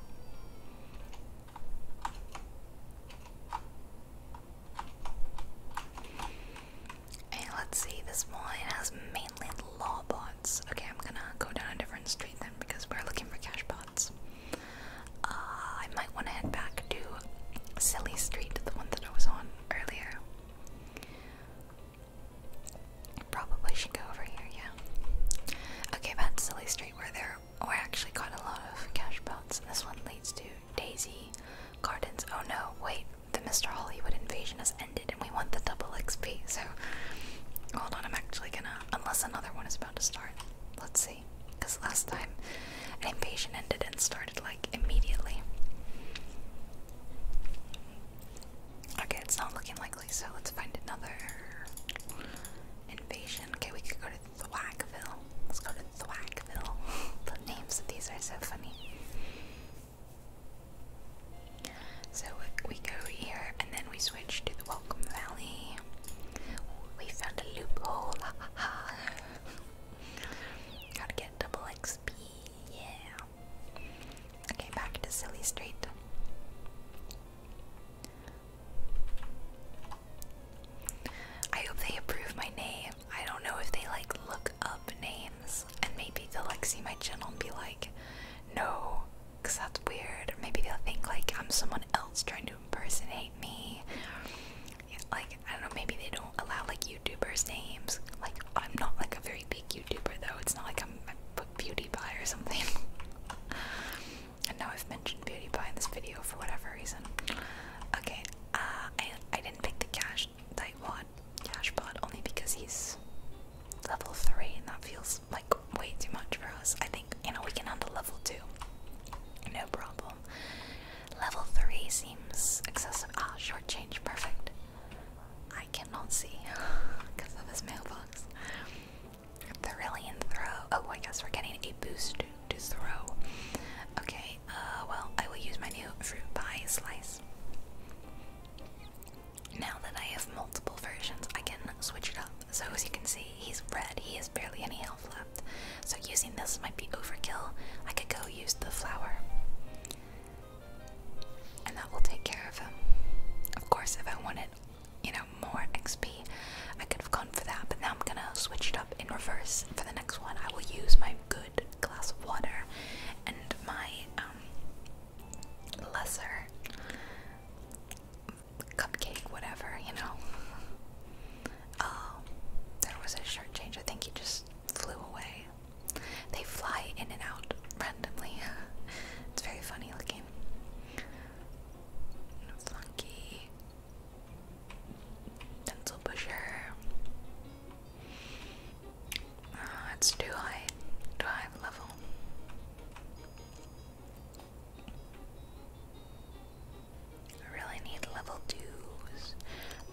Speaker 1: And let's see, this one has Maple law bots. Okay, I'm gonna go down a different street then because we're looking for cash bots. Uh, I might want to head back to Silly Street, the one that I was on earlier. Probably should go over here, yeah. Okay, back to Silly Street where there we actually got a lot of cash bots. This one leads to Daisy Gardens. Oh no, wait, the Mr. Hollywood invasion has ended and we want the double XP. So hold on, I'm actually gonna, unless another one is about to start. Let's see. Because last time an invasion ended and started like immediately. Okay, it's not looking likely, so let's find another invasion. Okay, we could go to Thwackville. Let's go to Thwackville. the names of these are so funny. So we go here and then we switch to the Welcome Valley. We found a loophole. Gotta get double XP. Yeah. Okay, back to Silly Street. I hope they approve my name. I don't know if they like look up names and maybe they'll like see my channel and be like, no, because that's weird. Or Maybe they'll think like I'm someone else trying to impersonate me. like, I don't know, maybe they don't allow like YouTubers' names. Like, I'm not like a very big YouTuber though, it's not like I'm I Beauty Pie or something. and now I've mentioned Beauty Pie in this video for whatever reason. Okay, uh, I, I didn't pick the cash title, I Cash pot only because he's level 3 and that feels like way too much for us. I think, you know, we can handle level 2. No problem. Level 3 seems excessive. Ah, short change, perfect. I cannot see because of his mailbox. Thrillian throw. Oh, I guess we're getting a boost to throw. Okay, uh, well, I will use my new fruit pie slice. Now that I have multiple versions, I can switch it up. So as you can see, he's red. He has barely any health left. So using this might be overkill. I could go use the flower. And that will take care of him. Of course, if I wanted, you know, more XP, I could have gone for that. But now I'm gonna switch it up in reverse for the next one. I will use my good glass of water and my um, lesser cupcake, whatever, you know. Um, there was a shirt change. I think he just flew away. They fly in and out randomly. it's very funny looking. Funky pencil pusher. Uh, it's too high, too high level. I really need level twos.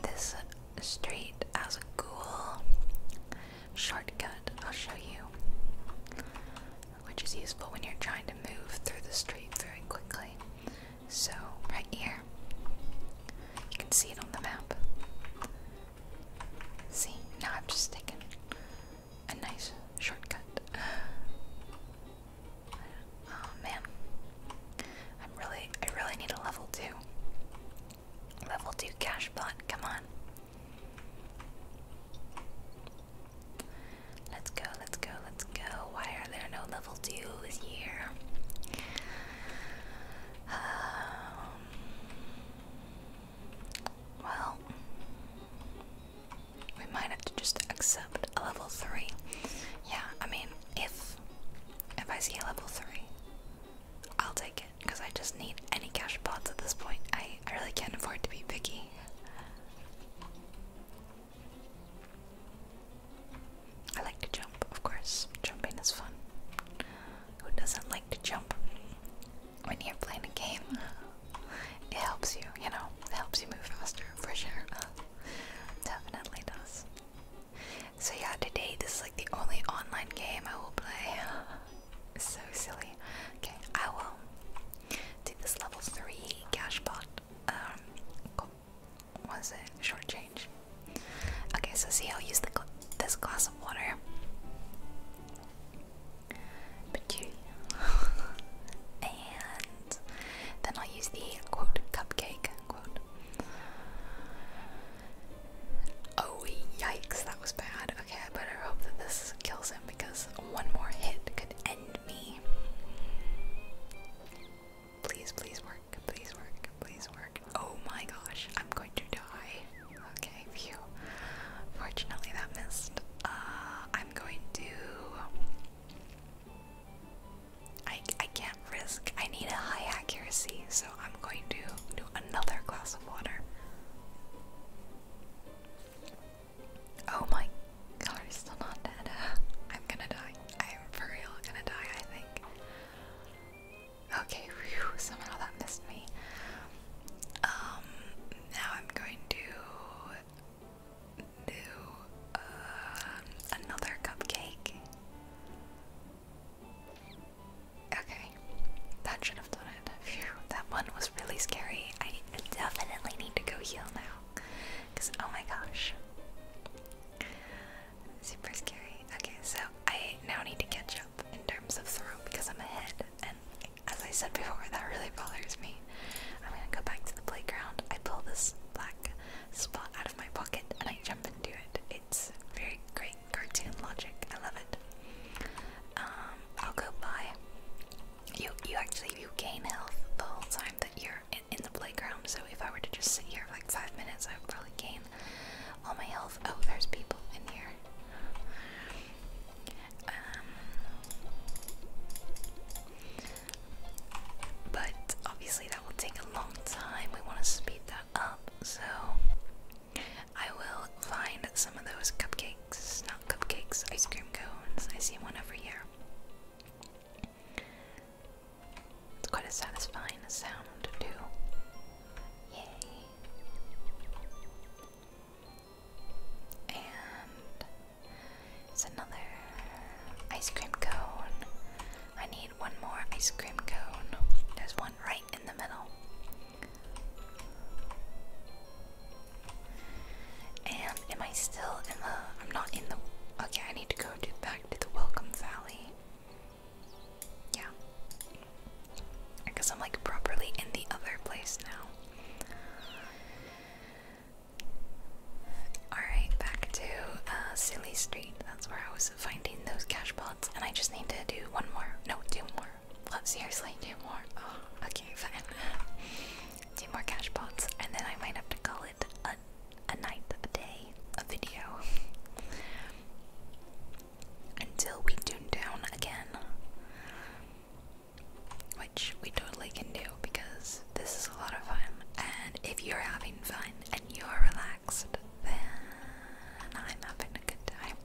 Speaker 1: This street has a cool shortcut. I'll show you, which is useful when you're trying to move through the street very quickly. So right here, you can see it on the map. See, now i am just taken a nice shortcut. Oh, man, I'm really, I really need a level two. Level two cash bot, come on. Let's go, let's go, let's go. Why are there no level twos here? Um, well, we might have to just accept a level three. Yeah, I mean, if if I see a level three, I'll take it because I just need any cash pods at this point. I I really can't afford to be picky. I like to jump, of course. Jumping is fun. Who doesn't like to jump? when you're playing a game, it helps you, you know, it helps you move faster for sure. Definitely does. So, yeah, today this is like the only online game I will play. so silly. Okay, I will do this level 3 cash pot. Um, cool. it? Short change. Okay, so see, I'll use the this glass of water. and then I'll use the quote cupcake quote. Oh yikes, that was bad. Okay, I better hope that this kills him because one more hit could end me. Please, please work, please work, please work. Oh my gosh, I'm going to die. Okay, Fortunately, that missed. Uh, I'm going to. I, I can't risk. I need a high accuracy, so I'm going to do another glass of water. Oh my god, he's still not dead. I'm gonna die. I'm for real gonna die, I think. Okay, somehow that missed me. Um, now I'm going to do uh, another cupcake. Okay, that should have done it. that one was really scary. I definitely need to go heal now. Because, oh my gosh. Super scary. Okay, so I now need to catch up in terms of throw because I'm ahead and as I said before, that really bothers me. I'm gonna go back to the playground. I pull this black spot out of my pocket and I jump into it. It's very great cartoon logic. I love it. Um, I'll go by. You you actually you gain health the whole time that you're in, in the playground. So if I were to just sit here for like five minutes, I would probably gain all my health. Oh, there's people in here. Um, but obviously that will take a long time. We want to speed that up, so I will find some of those cupcakes, not cupcakes, ice cream cones. I see one every year. It's quite a satisfying sound, too. Yay. And it's another ice cream cone. I need one more ice cream cone. There's one right in the middle. And am I still in the. I'm not in the. Okay, I need to go back to the Welcome Valley. Yeah. Because I'm like properly in the other place now. Alright, back to uh, Silly Street. That's where I was finding those cash pots, and I just need to do one more. No, two more. Well, seriously, two more. Oh, okay, fine. two more cash pots, and then I might have to call it a, a night, a day, a video. Until we tune down again which we totally can do because this is a lot of fun. And if you're having fun and you're relaxed, then I'm having a good time.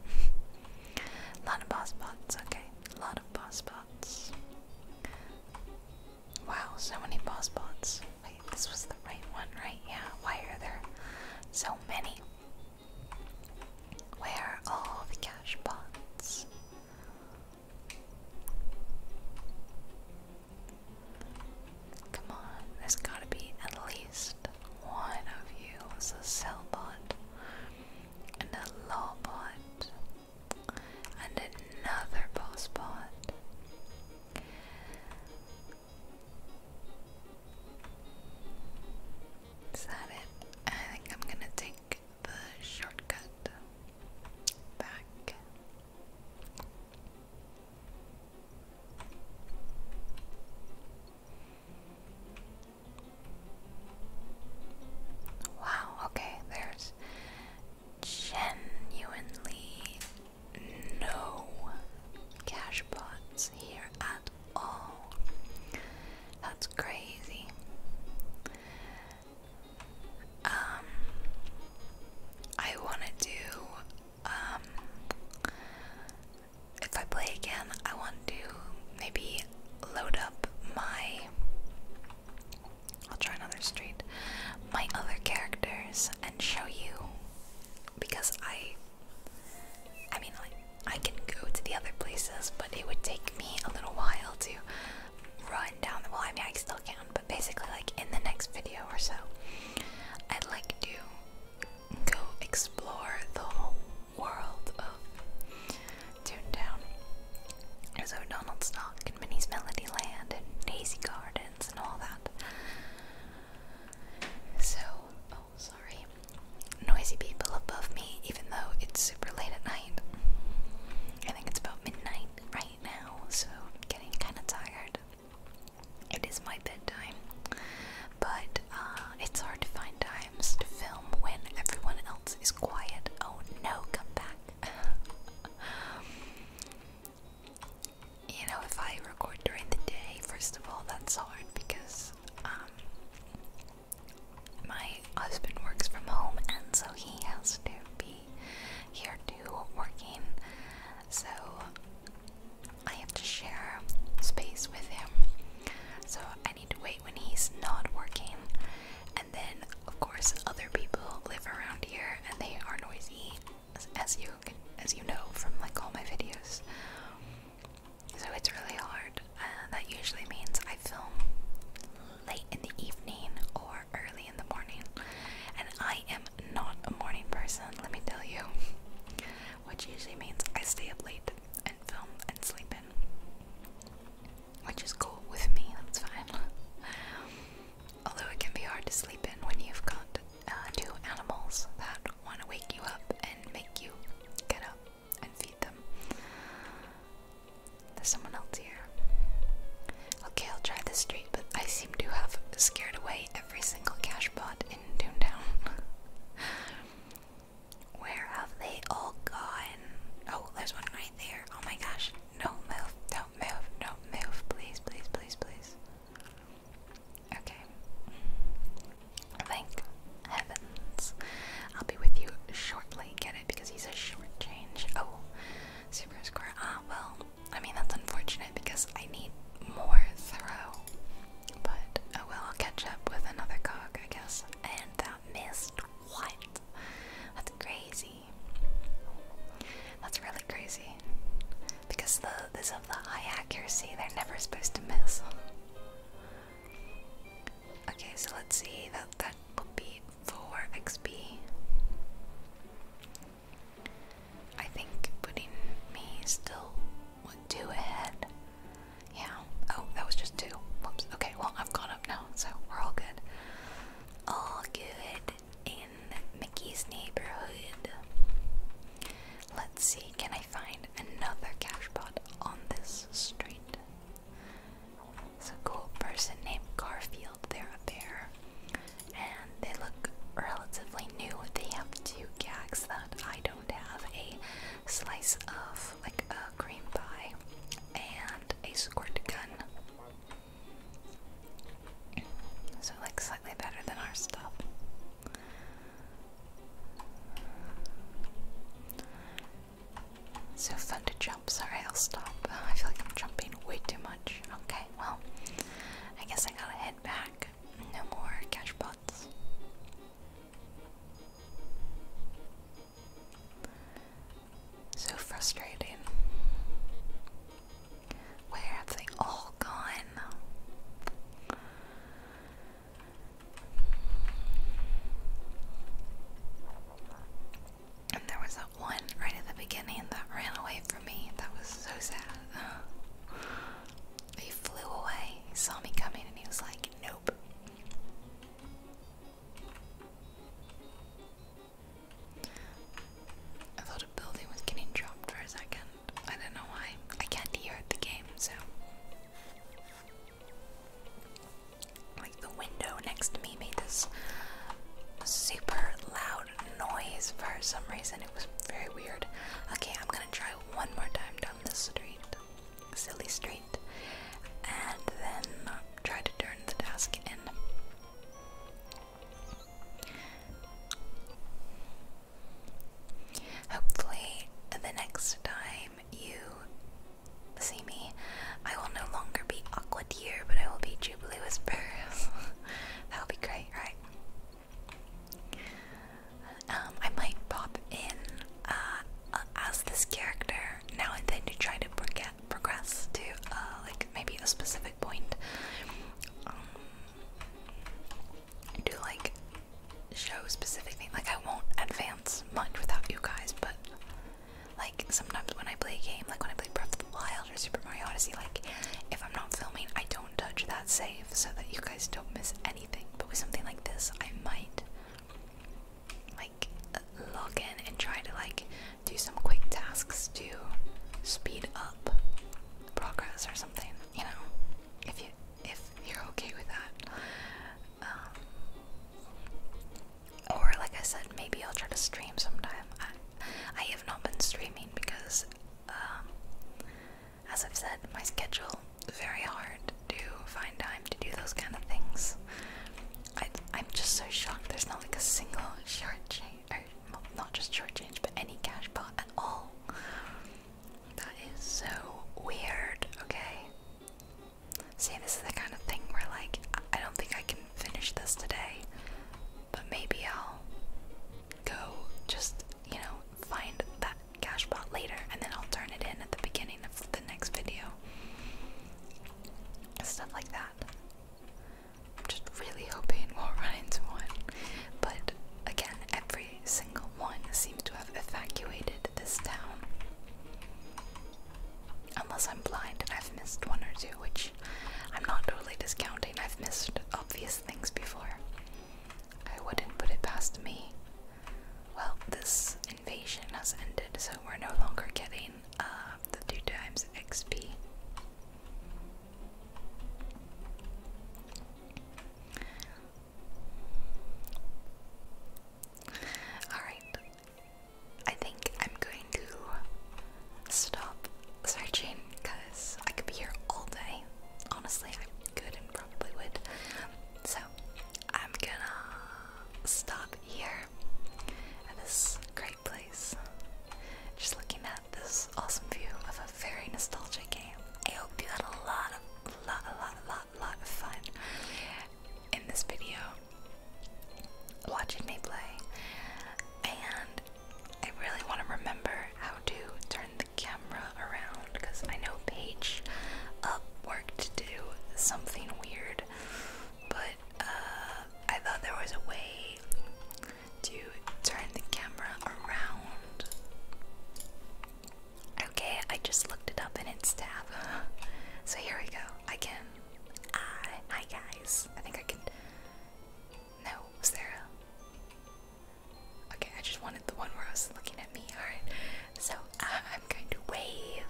Speaker 1: a lot of boss bots, okay. A lot of boss bots. Wow, so many boss bots. Wait, this was the right one, right? Yeah, why are there so many? Where are all the cash pots? Come on, there's gotta be at least one of you as a cell bot, and a law bot, and another boss bot. Is that it? I think I'm gonna take the shortcut back. Wow, okay, there's genuinely no cash pots here at all. That's crazy. Um, I want to do, um, if I play again, I want to maybe load up my, I'll try another street, my other characters and show you, because I, I mean, like, I can go to the other places, but it would take me a little while to run down the well, I mean I still can, but basically like in the next video or so, I'd like to go explore the whole world of Toontown. There's O'Donnell's Knock and Minnie's Melody Land and Daisy Gardens and all that. So, oh sorry noisy people above me, even though it's super late at night. I think it's about midnight right now, so I'm getting kind of tired. It is my bedtime, but uh, it's hard to find times to film when everyone else is quiet. Oh no, come back. you know, if I record during the day, first of all, that's hard because um, my husband works from home and so he has to be here too working. So I have to share space with him. So I need to wait when he's not working. And then, of course, other people live around here and they are noisy, as, as you as you know from like all my videos. So it's really hard. Uh, that usually means I film late in the evening or early in the morning. And I am not a morning person, let me tell you. Which usually means I stay up late and film and sleep in. Which is cool with me, that's fine. Although it can be hard to sleep in when you've got uh, two animals that want to wake you up and make you get up and feed them. There's someone else here. Okay, I'll try this street, but I seem to have scared away every single cash bot in Toontown. Where have they all gone? Oh, there's one right there. Oh my gosh. No not move, don't move, do move. Please, please, please, please. Okay. Thank heaven I'll be with you shortly. Get it? Because he's a short change. Oh, super square. Ah, well, I mean, that's unfortunate because I need more throw. But, oh well, I'll catch up with another cog, I guess. And that missed. What? That's crazy. That's really crazy. Because the is of the high accuracy, they're never supposed to miss. Okay, so let's see that that will be 4 XP. I think putting me still went two ahead. Yeah. Oh, that was just two. Whoops. Okay, well I've caught up now, so we're all good. All good in Mickey's neighborhood. Let's see, can I find another cash pot on this street? It's a cool person named Garfield. They're a bear. And they look relatively new. They have two gags that I don't have a slice of, like a cream pie, and a squirt gun. So, like, slightly better than our stuff. So fun to jump. Sorry, I'll stop. I feel like I'm jumping way too much. Okay, well, I guess I gotta head back. No more cash pots. So frustrating. Where have they all gone? And there was that one right at the beginning that ran away from me. That was so sad. he flew away. He saw me coming and he was like, nope. I thought a building was getting dropped for a second. I don't know why. I can't hear the game, so like the window next to me made this super loud noise for some reason. It was very weird. Okay, I'm gonna try one more time down this street, silly street, and then try to turn the task in. Hopefully, the next time you See me? I will no longer be Aqua Deer, but I will be Jubilee Whisper. that will be great, right? Um, I might pop in uh, as this character now and then to try to forget progress to uh, like maybe a specific point. Um, do like show specific things. Like I won't advance much without you guys, but like sometimes when I play a game, like when I play Breath of the Wild or Super Mario Odyssey, like if I'm not filming, I don't touch that save so that you guys don't miss anything. But with something like this, I might like log in and try to like do some quick tasks to speed up progress or something. You know, if you if you're okay with that. Um, or, like I said, maybe I'll try to stream sometime. I, have not been streaming because, um, as I've said, my schedule very hard to find time to do those kind of things. I, am just so shocked there's not like a single short change, not just short change, but any cash pot at all. That is so weird, okay? See, this is the kind of thing where, like, I don't think I can finish this today, but maybe I'll go just, you know, find that cash pot later and then I'll turn it in at the beginning of the next video. Stuff like that. I'm just really hoping we'll run into one. But again, every single one seems to have evacuated this town. Unless I'm blind and I've missed one or two, which I'm not totally discounting. I've missed obvious things before. I wouldn't put it past me. Well, this invasion has ended, so we're no longer getting uh, the two times XP. Alright, I think I'm going to stop searching because I could be here all day. Honestly, I could and probably would. So I'm gonna stop here at this great place. Just looking at this awesome view of a very nostalgic game. I hope you had a lot of, lot, a lot, a lot, lot of fun in this video watching me play, and I really want to remember how to turn the camera around because I know Paige up uh, worked to do something weird, but uh, I thought there was a way to turn the camera around. Okay, I just looked it up in its tab. so here we go. again. Uh, hi guys. I think I can. No, was there a. Okay, I just wanted the one where I was looking at me. Alright. So uh, I'm going to wave.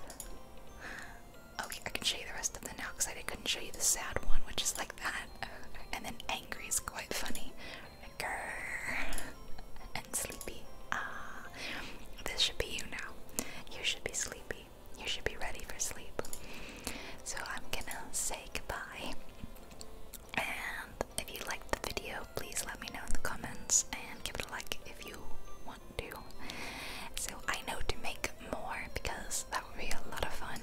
Speaker 1: Okay, oh, I can show you the rest of the now because I couldn't show you the sad one, which is like that. Uh, and then angry is quite funny. Grrr. And sleepy. Ah, uh, this should be you now. You should be sleepy. You should be ready for sleep. So I'm gonna say goodbye. And if you liked the video, please let me know in the comments and give it a like if you want to. So I know to make more because that would be a lot of fun.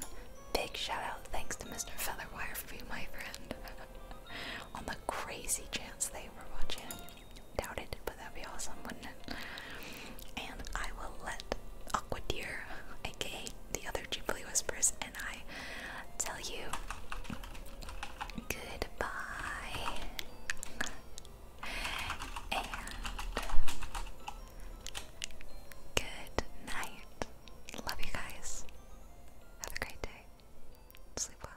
Speaker 1: Big shout out, thanks to Mr. Wire for being my friend. On the crazy chance they were watching. doubted that'd be awesome, wouldn't it? And I will let Aqua Aquadeer, aka the other Ghibli Whispers, and I tell you goodbye. And good night. Love you guys. Have a great day. Sleep well.